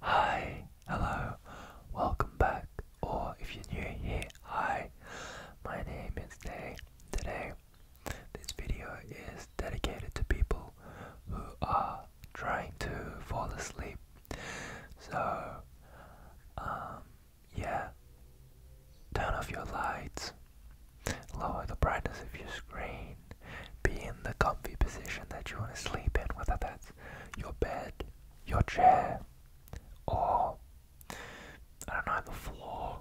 Hi, hello, welcome back, or if you're new here, hi, my name is Day. Today, this video is dedicated to people who are trying to fall asleep. So, um, yeah, turn off your lights, lower the brightness of your screen, be in the comfy position that you want to sleep in, whether that's your bed, your chair, or I don't know, the floor,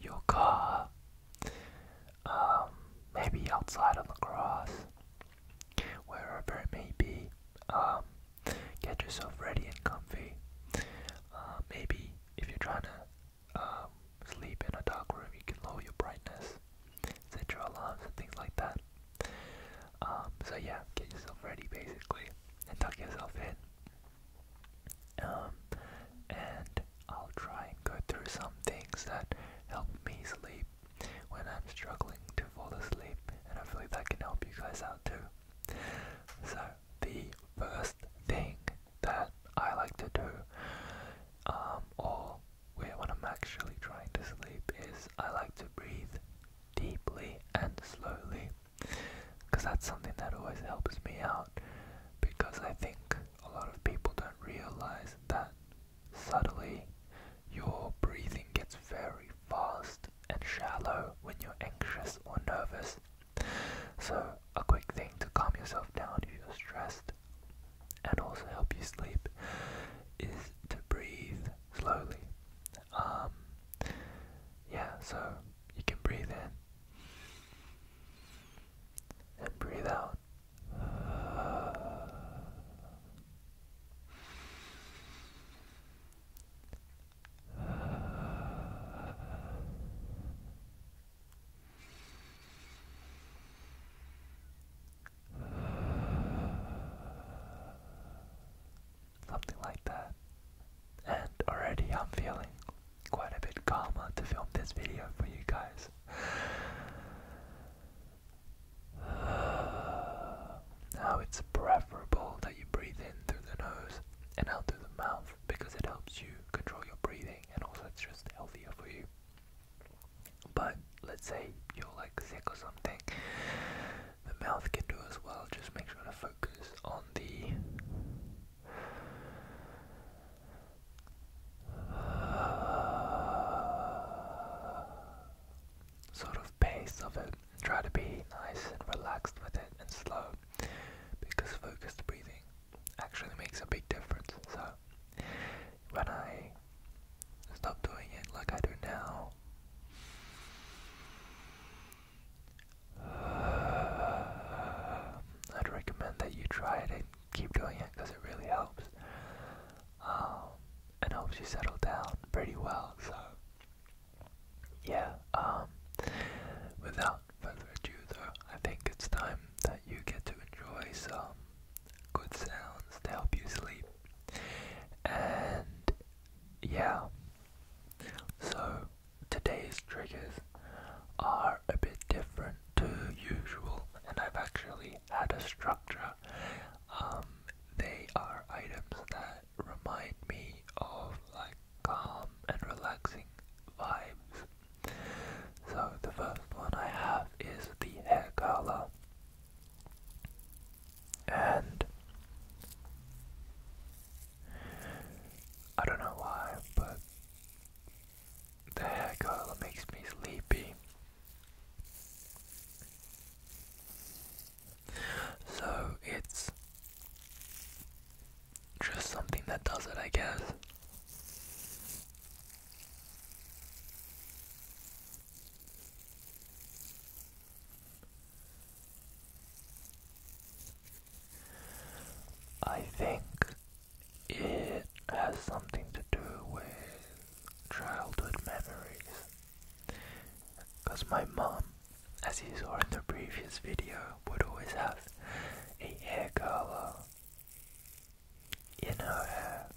your car, um, maybe outside on the grass, wherever it may be. Um, get yourself ready and comfy. Uh, maybe if you're trying to um, sleep in a dark room, you can lower your brightness set your alarms and things like that. Um, so yeah, get yourself ready basically and tuck yourself in. Um, and I'll try and go through some things that help me sleep when I'm struggling to fall asleep, and hopefully that can help you guys out too. So the first thing that I like to do, um, or where when I'm actually trying to sleep is I like to breathe deeply and slowly because that's something that always helps me out because I think a lot of people don't realize that subtly your breathing gets very fast and shallow when you're anxious or nervous. So, a quick thing to calm yourself down if you're stressed and also help you sleep is to breathe slowly. Um, yeah, so you can breathe in and breathe out. Uh, something like that. And already I'm feeling quite a bit calmer to film this video for you guys. Now it's preferable that you breathe in through the nose and out through the mouth because it helps you control your breathing and also it's just healthier for you. But let's say you're like sick or something, the mouth can do as well. Just make sure to focus on the sort of pace of it. Try to be nice and relaxed with it and slow because focused breathing actually makes a big difference. So when I stop doing it like I do now, I'd recommend that you try it and keep doing it because it really helps. Um, and helps you settle down pretty well. So yeah, um, without further ado I think it's time that you get to enjoy some good sounds to help you sleep. And yeah. So today's triggers are a bit different to usual and I've actually had a structure. Um they are items that remind me of like calm and relaxing vibes so the first one I have is the hair color. And I don't know why, but the hair color makes me sleepy. So it's just something that does it, I guess. I think it has something to do with childhood memories. Because my mom, as you saw in the previous video, would always have a hair color in her hair. And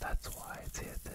that's why it's here today.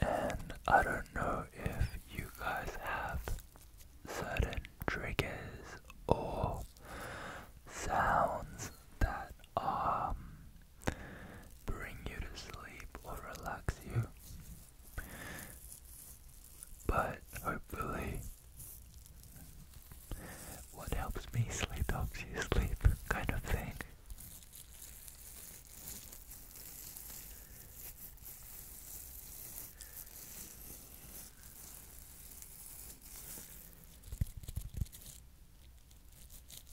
And I don't know if you guys have certain triggers or sounds that are um, bring you to sleep or relax you. But hopefully, what helps me sleep helps you sleep, kind of thing.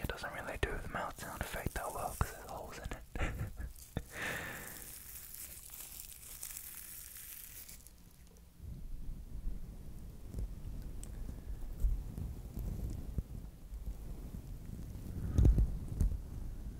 it doesn't really do the mouth sound effect that well because there's holes in it.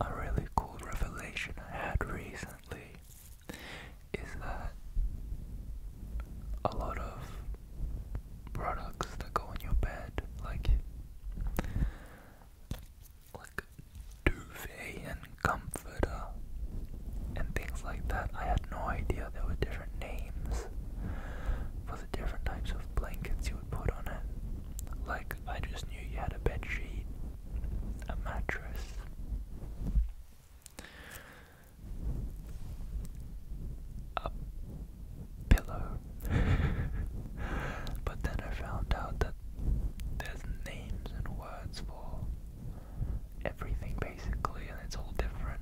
A really cool revelation I had recently is that a lot of products that go in your bed, like like duvet and comforter and things like that. I had no idea there were different names for the different types of blankets you would put on it. Like, I just knew you had a bed sheet, a mattress. A pillow. but then I found out that there's names and words for everything basically, and it's all different.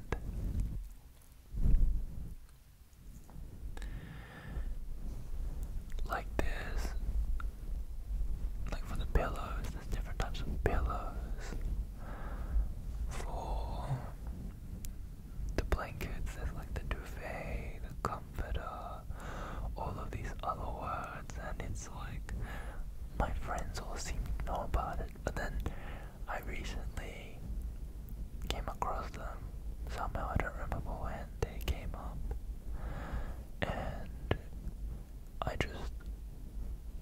Like this, like for the pillows, there's different types of pillows. For the blankets, there's like the duvet, the comforter, all of these other words, and it it's like my friends all seem to know about it, but then I recently came across them somehow, I don't remember when they came up, and I just,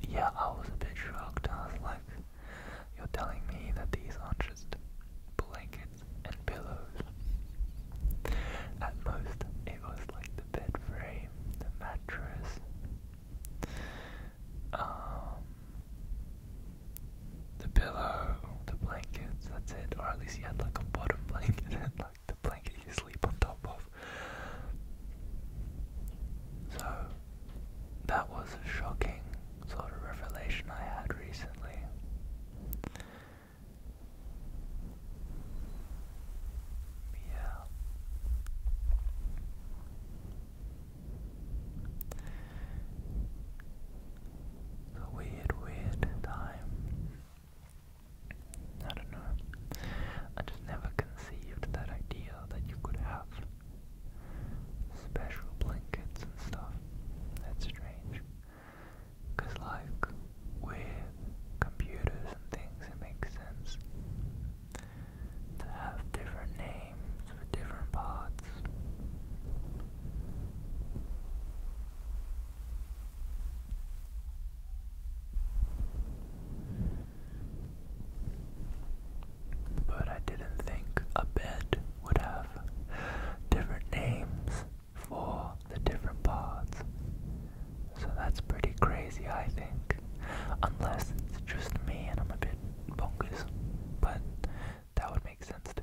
yeah, I was a bit shocked. I was like, you're telling me that these aren't just blankets and pillows. At most, it was like the bed frame, the mattress, um, the pillow, the blankets, that's it. Or at least you had like a bottom blanket like the blanket you sleep on top of. So that was a shocking sort of revelation I had recently a weird, weird time. I don't know. I just never conceived that idea that you could have special blankets and stuff. That's strange. Because, like, with computers and things, it makes sense to have different names for different parts. But I didn't think a bed would have different names for the different parts. So that's pretty crazy, I think. Unless it's just me and I'm a bit bonkers, but that would make sense too.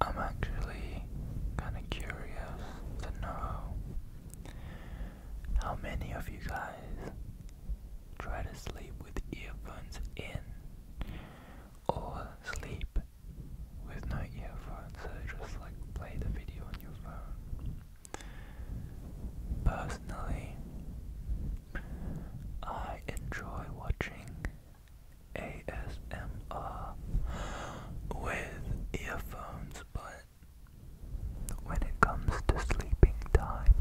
I'm actually kind of curious to know how many of you guys try to sleep with earphones in or sleep with no earphones, so just like play the video on your phone. Personally, I enjoy watching ASMR with earphones, but when it comes to sleeping time,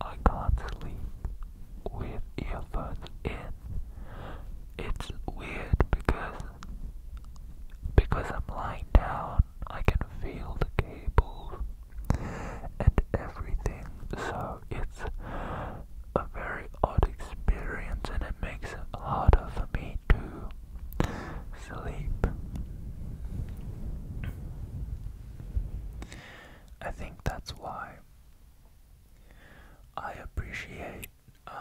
I can't sleep with earphones in. It's weird because because I'm lying down, I can feel the cables and everything. So it's a very odd experience, and it makes it harder for me to sleep. I think that's why I appreciate um,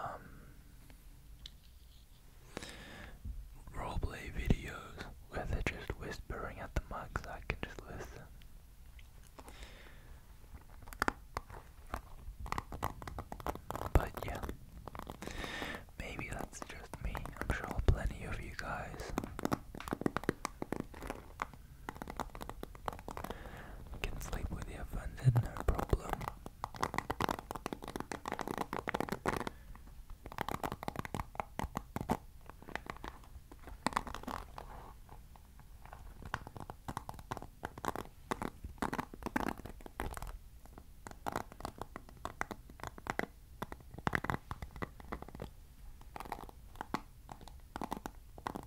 videos where they're just whispering at the mic I can just listen. But yeah, maybe that's just me. I'm sure plenty of you guys can sleep with your friends at no problem.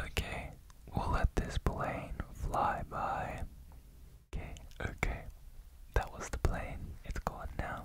Okay, we'll let this plane fly by. Okay, okay. That was the plane. It's gone now.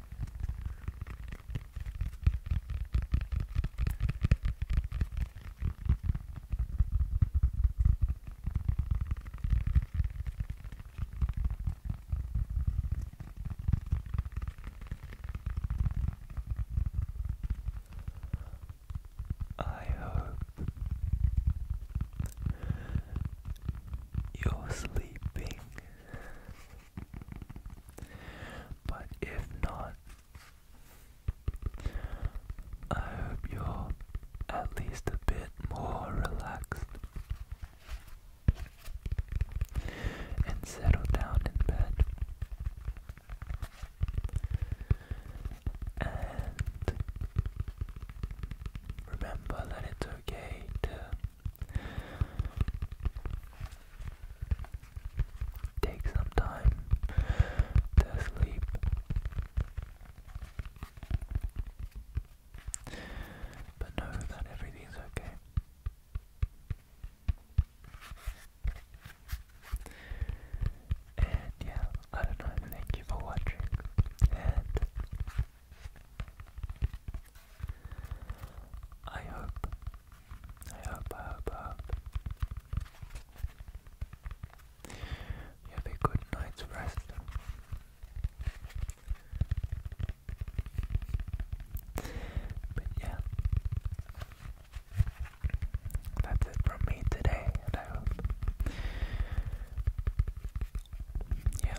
I hope you're sleeping but if not, I hope you're at least a bit more relaxed and settle down in bed. And remember that it's okay to Take some time to sleep. But know that everything's okay. And yeah, I don't know, thank you for watching. And I hope, I hope, I hope, I hope you have a good night's rest. But yeah, that's it from me today, and I hope yeah.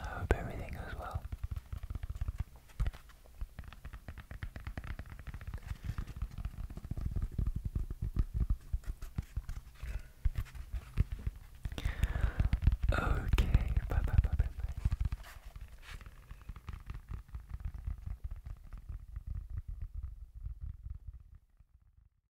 I hope everything goes well. Okay, bye bye bye bye bye.